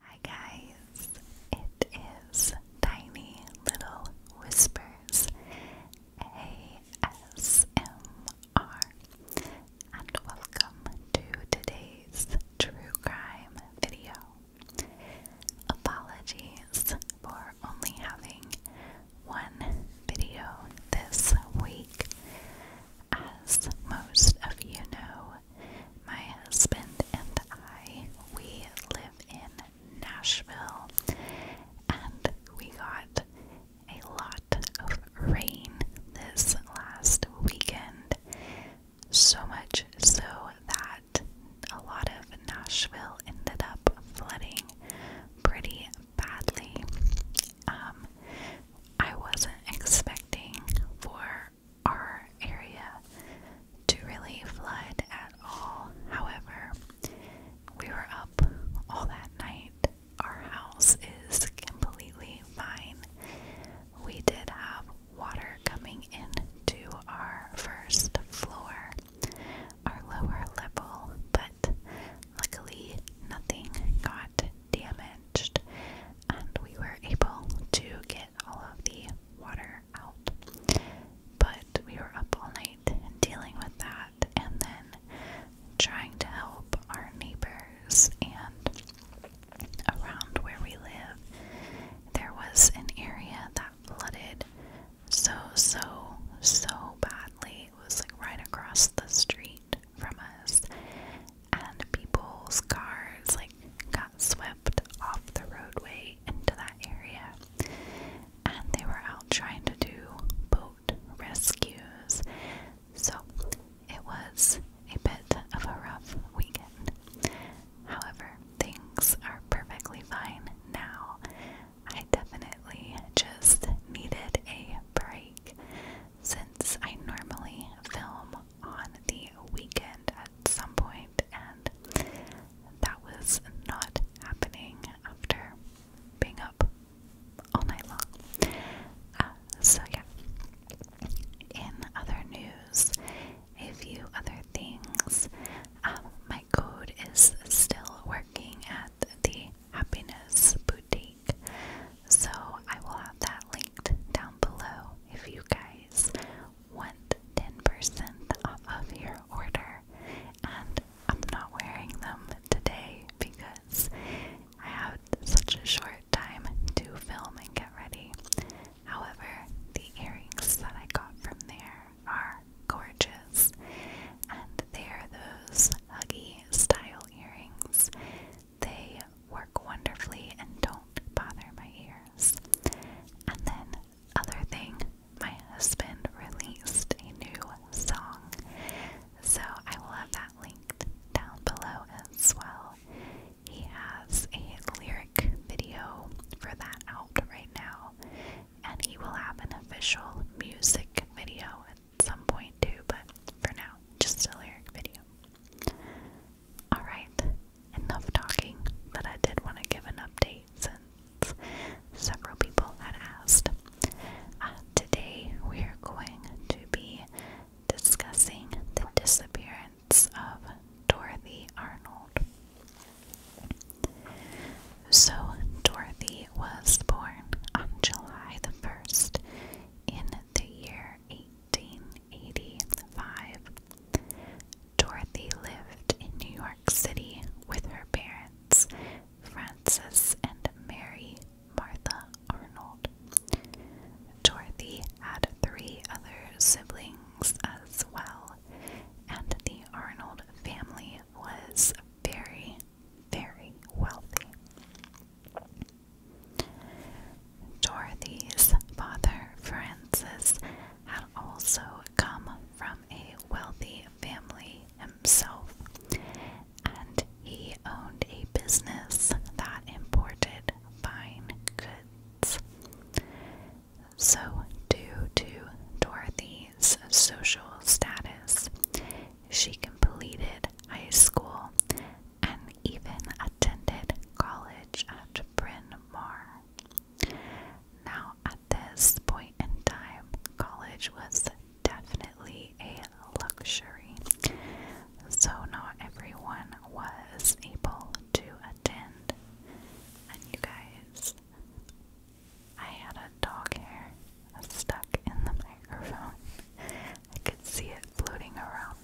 Hi guys, it is Tiny Little Whispers ASMR, and welcome to today's true crime video. Apologies for only having one video this week. As most of you know, my husband and I, we live in Nashville and we got a lot of rain this last weekend. So much so that a lot of Nashville ended up flooding pretty badly. Um, I wasn't expecting for our area to really flood at all. However, we were up all that night. Our house is completely fine. We did have water coming into our first floor, our lower level, but luckily nothing got damaged and we were able to get all of the water out. But we were up all night dealing with that and then trying to help our neighbors. And around where we live, there was an area that flooded so, so, so badly. It was like right across the street from us and people's cars like got swept off the roadway into that area and they were out trying to do boat rescues so it was a bit of a rough weekend however things are perfectly fine now i definitely just needed a break since i normally film on the weekend at some point, and that was not happening after being up all night long. Uh, so, yeah. In other news, a few other things. Um, my code is still working at the Happiness Boutique, so I will have that down below if you guys want 10% off of your order. And I'm not wearing them today because I had such a short time to film and get ready. However, the earrings that I got from there are gorgeous, and they are those huggy style earrings they work wonderfully and don't bother my ears. And then, other thing, my husband released a new song. So I will have that linked down below as well. He has a lyric video for that out right now, and he will have an official music video at some point too, but for now, just a lyric video. Alright, enough talking, but I did want to give an update since several people had asked. Uh, today we are going to be discussing the disappearance of Dorothy Arnold. So, Dorothy was born on July the 1st in the year 18 1985. Dorothy lived in New York City with her parents, Frances and Mary Martha Arnold. Dorothy had three other siblings as well, and the Arnold family was very, very wealthy. Dorothy's father, Francis, had also come from a wealthy family himself, and he owned a business that imported fine goods. So, due to Dorothy's social status, she completed high school and even attended college at Bryn Mawr. Now, at this point in time, college was definitely a luxury, so not everyone was able to attend. And you guys, I had a dog hair stuck in the microphone. I could see it floating around.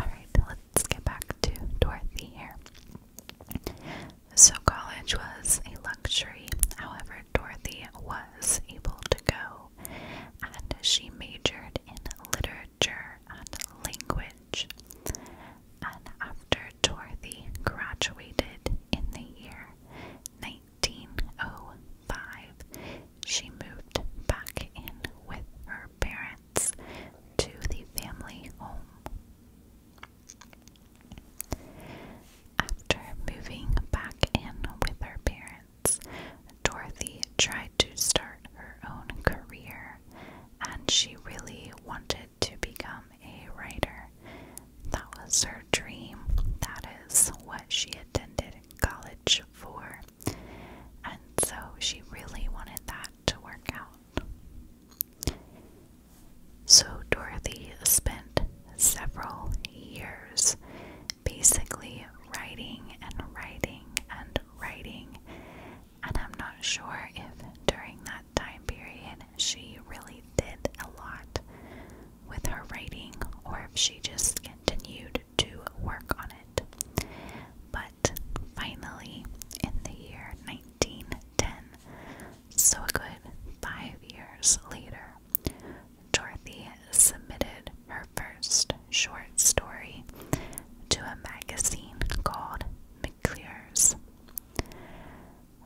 Alright, let's get back to Dorothy here. So, college was a luxury, however, Dorothy was able to go, and she majored in literature and language. And after Dorothy graduated in the year 1905, she moved back in with her parents to the family home. After moving back in with her parents, Dorothy tried to start her own career and she really wanted to become a writer. That was her dream. That is what she attended college for. And so she really wanted that to work out. So Dorothy spent several years basically writing and writing and writing. And I'm not sure if during that time period she really did a lot with her writing or if she just continued to work on it. But finally, in the year 1910, so a good five years later, Dorothy submitted her first short story to a magazine called McClure's.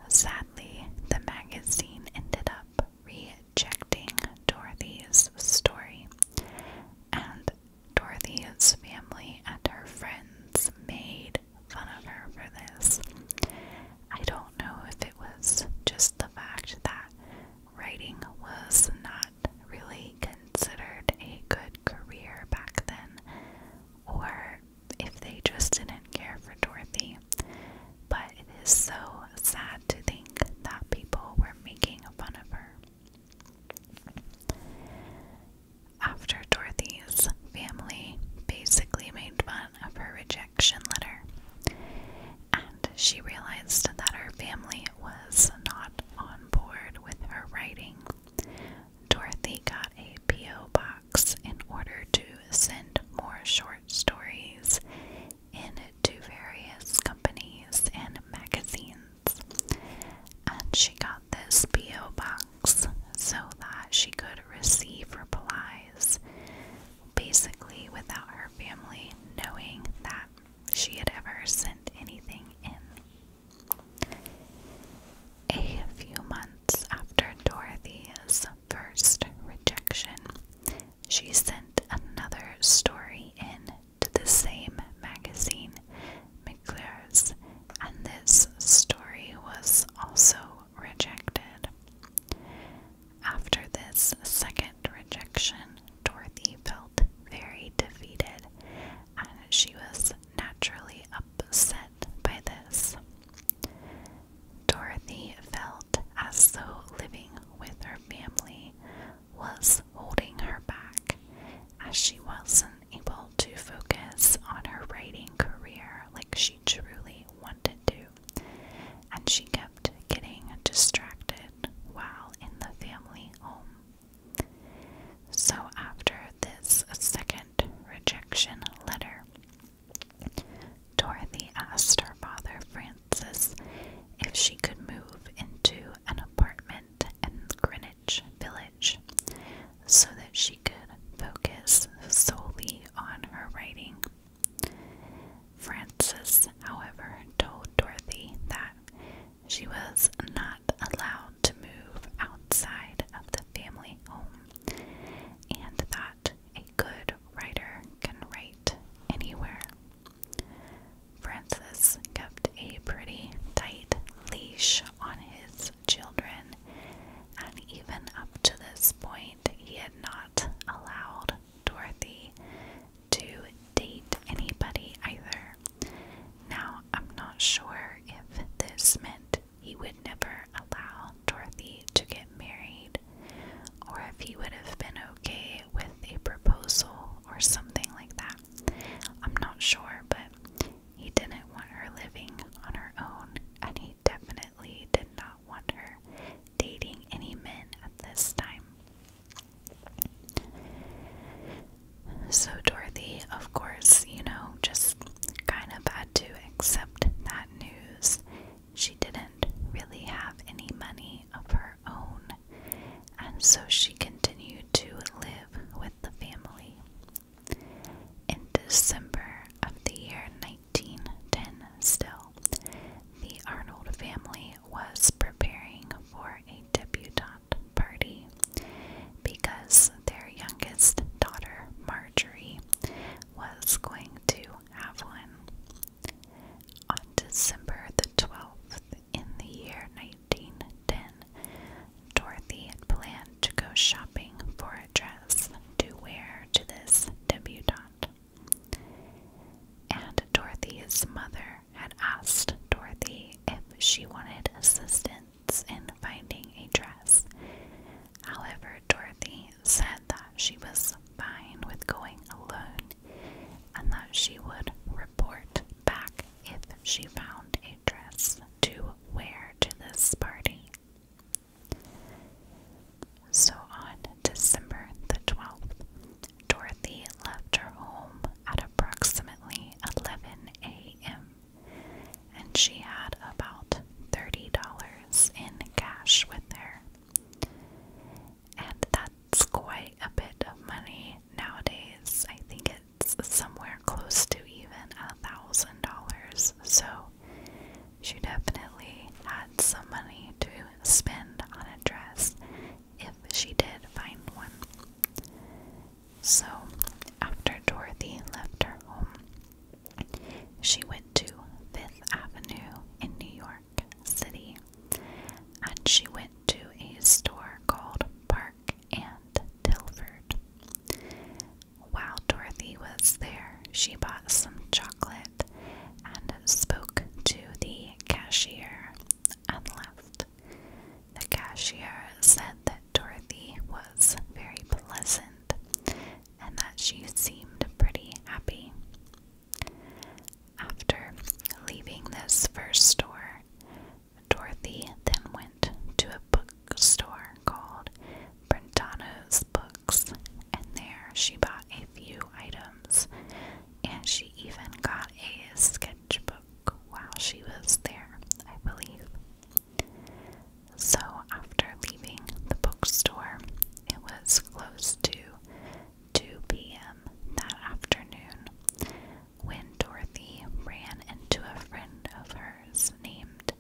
Sadly, the magazine ended up rejecting Dorothy's story, and Dorothy's family and her friends made fun of her for this. I don't know if it was just the fact that writing was not really considered a good career back then, or if they just didn't care for Dorothy. But it is so sad to think that people were making fun of her. After Dorothy's family basically made fun of her rejection letter, and she realized that her family was not on board with her writing, Dorothy got a P.O. box in order to send more short stories to various companies and magazines. And she got this P.O. box so that she could receive replies basically without her family knowing that she had ever sent anything in. A few months after Dorothy's first rejection, she sent another story in to the same magazine, McClure's, and this story was also rejected. After this second rejection, Dorothy felt very defeated, and she was naturally upset by this. Dorothy felt as though living with her family was holding her back as she wasn't able to focus on her writing career like she truly wanted to, and she kept getting distracted while in the family home. So, after this second rejection letter, Dorothy asked her father, Francis, if she could move into an apartment Kent and Greenwich Village so that she could focus solely on her writing. Frances, however, told Dorothy that she was not allowed to move outside of the family home and that a good writer can write anywhere. Francis kept a pretty tight leash on his children, and even up to this point, he had not allowed Dorothy to date anybody either. Now, I'm not sure if this meant he would never allow Dorothy to get married, or if he would have been okay with a proposal or something like that. I'm not sure, but he didn't want her living on her own, and he definitely did not want her dating any men at this time. So, Dorothy, of course, you know, just kind of had to accept that news. She didn't really have any money of her own and so she continued to live with the family. In December of the year 1910, still, the Arnold family was preparing for a debutante party because their youngest daughter, Marjorie, was going to have one. On December the 12th in the year 1910, Dorothy had planned to go shopping for a dress to wear to this debutante. And Dorothy's mother had asked Dorothy if she wanted assistance in finding a dress. However, Dorothy said that she was fine with going alone and that she would report back if she found a dress to wear to this party. So on December the 12th, Dorothy left her home at approximately 11 a.m. and she had about $30 in cash with her. And that it's quite a bit of money nowadays. I think it's somewhere close to even a thousand dollars. So she definitely had some money to spend on a dress if she did find one. So after Dorothy left her home, she went to Fifth Avenue in New York City and she went to a store called Park and Tilford. While Dorothy was there, she bought some chocolate and spoke to the cashier and left. The cashier said that Dorothy was very pleasant and that she seemed pretty happy. After leaving this first store, Dorothy then went to a bookstore called Brentano's Books, and there she bought a few items, and she even got a sketchbook while she was there, I believe. So, after leaving the bookstore, it was close to 2 p.m. that afternoon, when Dorothy ran into a friend of hers named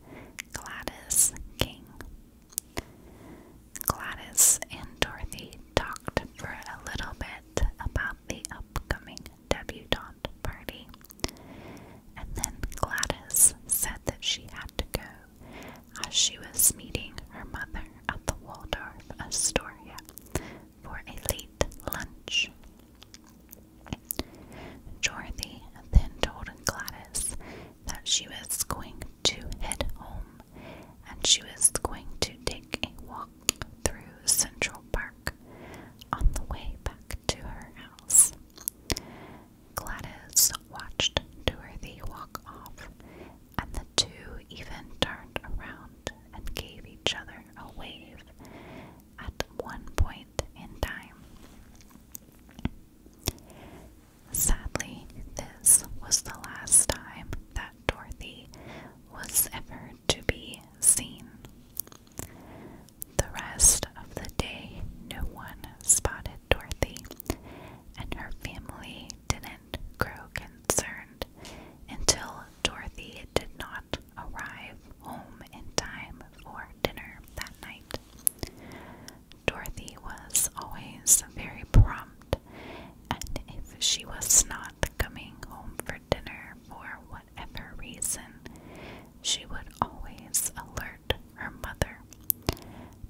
Gladys King. Gladys and Dorothy talked for a little bit about the upcoming debutante party, and then Gladys said that she had to go as she was meeting her mother at the Waldorf Astoria for a late lunch. Dorothy then told Gladys that she was going to head home and she was going to take a walk through Central Park on the way back to her house. Gladys watched Dorothy walk off and the two even turned around and gave each other a wave at one point in time. Sadly, this was the last time that Dorothy was ever to be seen. The rest of the day, no one spotted Dorothy, and her family didn't grow concerned until Dorothy did not arrive home in time for dinner that night. Dorothy was always very prompt, and if she was not coming home for dinner for whatever reason, she would always alert her mother.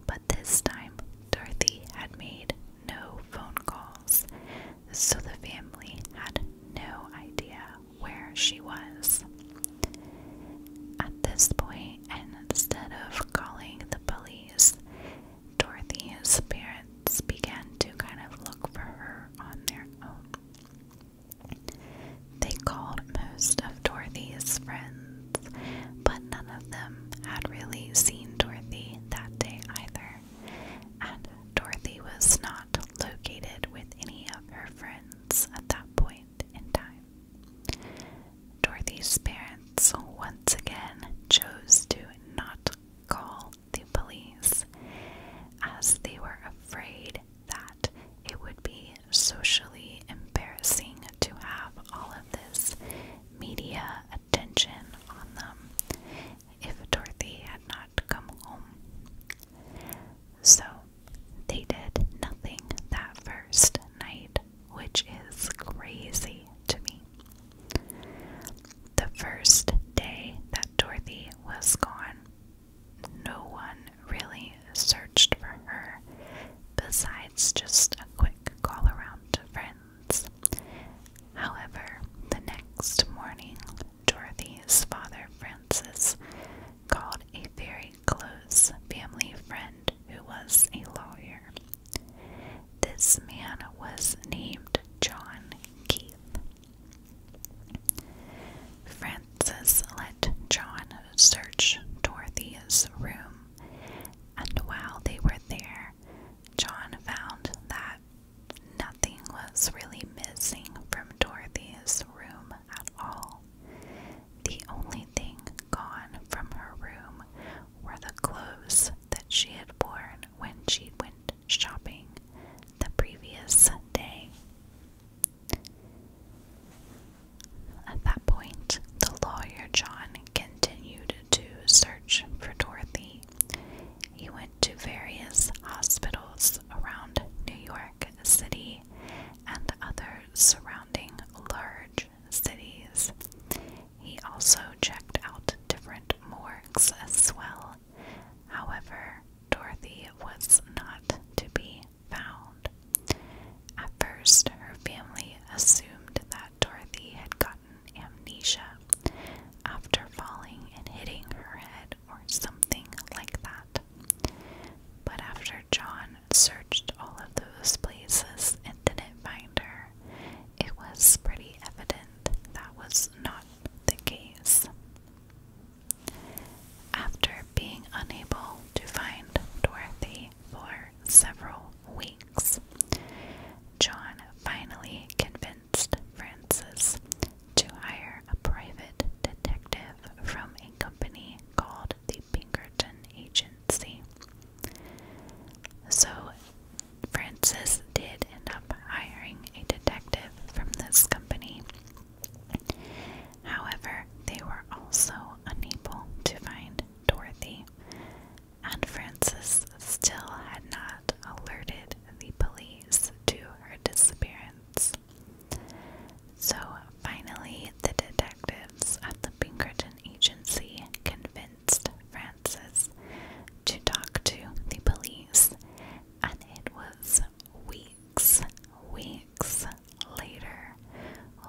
But this time, Dorothy had made no phone call so the family had no idea where she was. At this point, and instead of calling the police, Dorothy's parents began to kind of look for her on their own. They called most of Dorothy's friends, but none of them had really seen Dorothy that day either and Dorothy was not located with any of her friends at that point in time. Dorothy's parents once again chose to not call the police as they were afraid that it would be socially embarrassing to have all of this media attention. Tension on them if Dorothy had not come home. So they did nothing that first night, which is crazy to me. The first day that Dorothy was gone, no one really searched for her besides just a quick call around to friends. However, the next morning, Dorothy's father, Francis, called a very close family friend who was a lawyer. This man was named John Keith. Francis let John search Dorothy's room, and while they were there, John found that Nothing was really missing from Dorothy's room at all. The only thing gone from her room were the clothes that she had worn when she went shopping the previous day. At that point, the lawyer John continued to search for Dorothy. He went went to various hospitals around New York City and other surrounding large cities. He also checked out different morgues as well. However, Dorothy was not to be found. At first, her family assumed that Dorothy had gotten amnesia after falling and hitting her head or something like that. But after John searched all of those places and didn't find her, it was pretty evident that was not the case. After being unable to find Dorothy for several weeks, John finally convinced Francis to hire a private detective from a company called the Pinkerton Agency. So, Francis did end up hiring a detective from this company. However, they were also unable to find Dorothy, and Frances still had not alerted the police to her disappearance. So finally, the detectives at the Pinkerton Agency convinced Frances to talk to the police, and it was weeks, weeks later,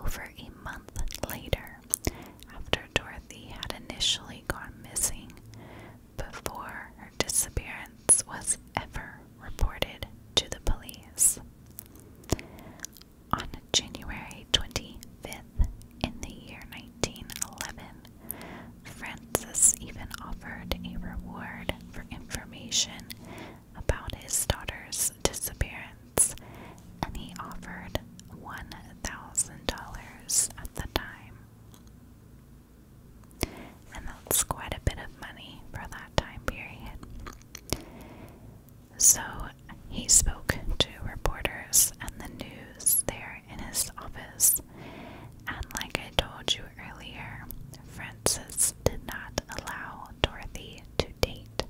over a month later, after Dorothy had initially gone missing, before her disappearance was ever reported to the police. On January 25th, in the year 1911, Francis even offered a reward for information about his daughter's disappearance, and he offered $1,000 at the time. And that's quite a bit of money for that time period. So he spoke to reporters and the news there in his office. And like I told you earlier, Francis did not allow Dorothy to date.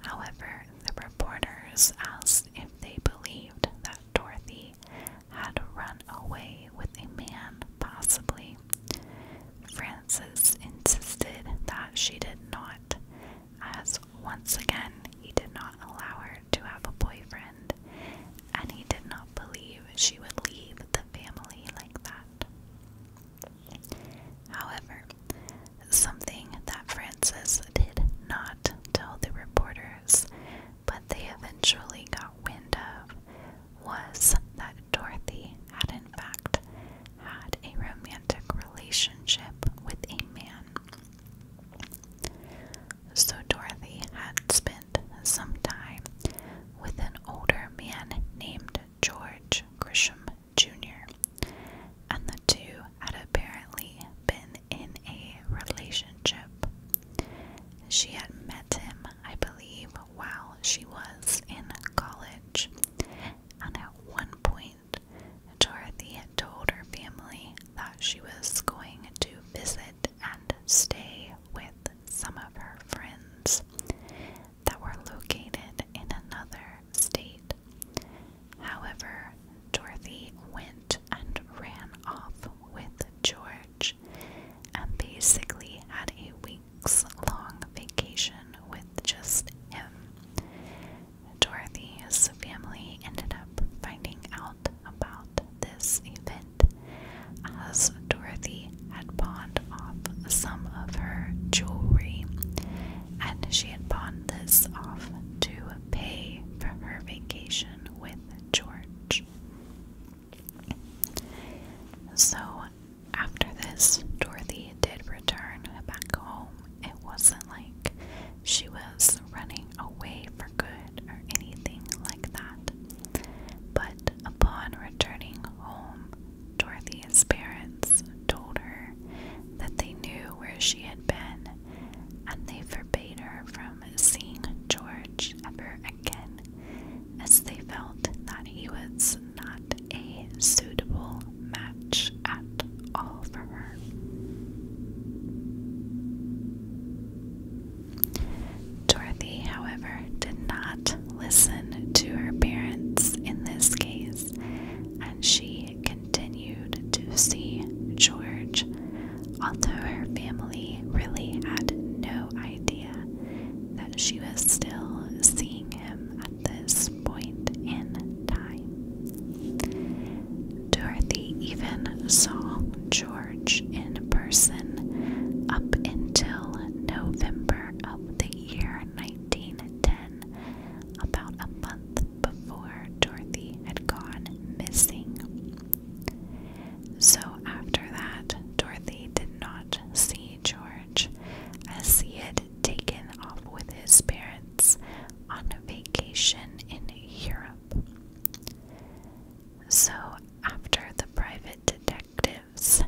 However, the reporters asked if they believed that Dorothy had run away with a man, possibly. Francis insisted that she did not, as once again he did not allow her to have a boyfriend, and he did not believe she would leave the family like that. However, something that Francis did not tell the reporters but they eventually got wind of was that Dorothy had, in fact, had a romantic relationship with a man. So Dorothy had spent some time with an older man named George Grisham Jr., and the two had apparently been in a relation. She had met him, I believe, while she was in college, and at one point, Dorothy had told her family that she was going to visit and stay with some of her friends that were located in another state. However, Dorothy went and ran off with George and basically had a weeks long vacation with just him. Dorothy's family ended up finding out about this event as Dorothy had pawned off some of her jewelry and she had pawned this off to pay for her vacation with with George. So, after this, Dorothy did return back home. It wasn't like she was running away for good or anything like that. But upon returning home, Dorothy's parents told her that they knew where she had been and they forbade her from seeing George ever again, as they felt that he was not a suitable match at all for her. Dorothy, however, did not listen to her parents in this case, and she continued to see George, although her family really had no idea that she was still seeing him at this point in time. Dorothy even saw George in person up until November of the year 1910, about a month before Dorothy had gone missing. So after that, Dorothy did not see George as he had taken off with his parents on a vacation in Europe. So after the private detectives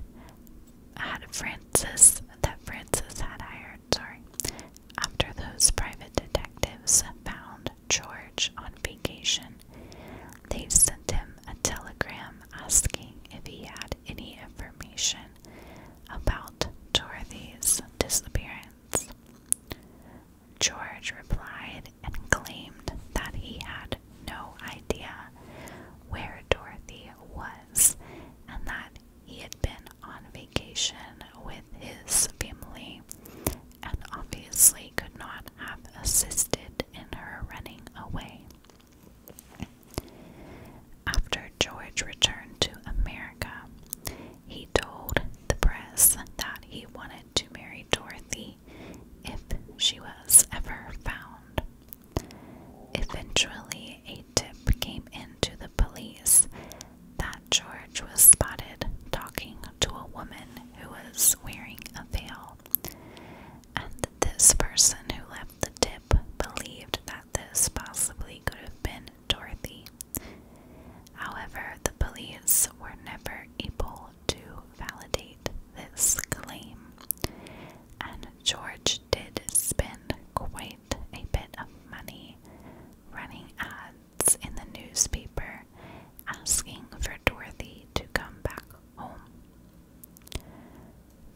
had Francis that Francis had hired, sorry, after those private detectives found George on vacation, they sent him a telegram asking if he had any information about Dorothy's disappearance. George replied and claimed that he had no idea where Dorothy was and that he had been on with his family and obviously could not have assisted in her running away. After George returned to America, he told the press that he wanted to marry Dorothy if she was ever found. Eventually, a tip came in to the police that George was spotted talking to a woman who was wearing a veil. And this person who left the tip believed that this possibly could have been Dorothy. However, the police were never able to validate this claim, and George did spend quite a bit of money running ads in the newspaper asking for Dorothy to come back home.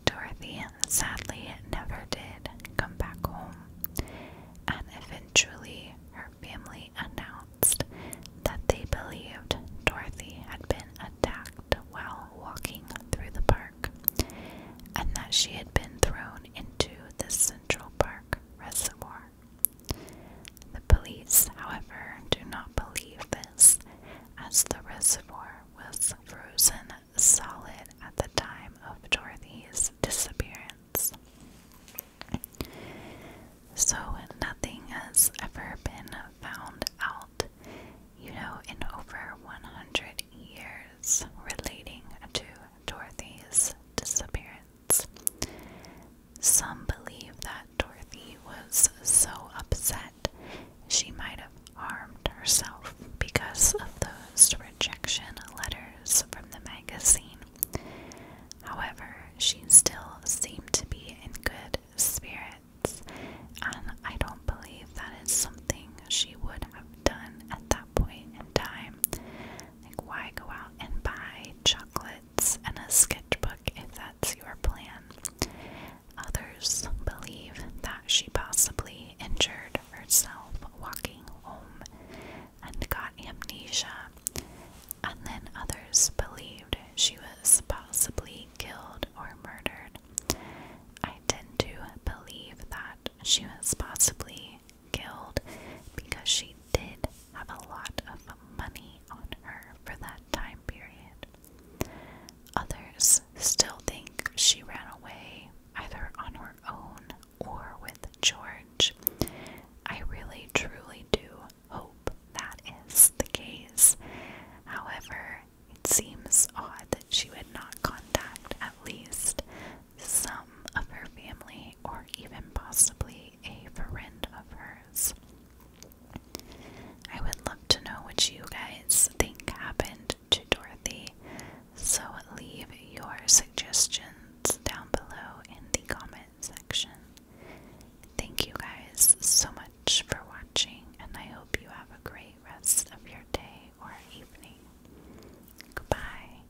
Dorothy sadly never did come back home, and eventually her family announced that they believed Dorothy had been attacked while walking through the park and that she had been thrown into the Central Park Reservoir. The police, however, do not believe this, as the reservoir was frozen solid at the time of Dorothy's disappearance. So nothing has ever been found out, you know, in over 100 years relating to Dorothy's disappearance. Some believe that Dorothy was so upset she might have harmed herself because of those rejection letters from the magazine. However, she still seemed to be in good spirits, and I don't believe that is something she would have done at that point in time. Like, why go out and buy chocolates and a sketchbook if that's your plan? Others believe that she possibly injured herself walking home and got amnesia, and then others believed she was possibly killed or murdered. I tend to believe that she was possibly killed because she did have a lot of money on her for that time period. Others still think she ran away either on her own or with George. I really truly do hope that is the case. However, it seems odd that she would not contact at least some of her family or even possibly a friend of hers. I would love to know what you guys think happened to Dorothy, so leave your suggestions down below in the comment section. Thank you guys so much for watching, and I hope you have a great rest of your day or evening. Goodbye.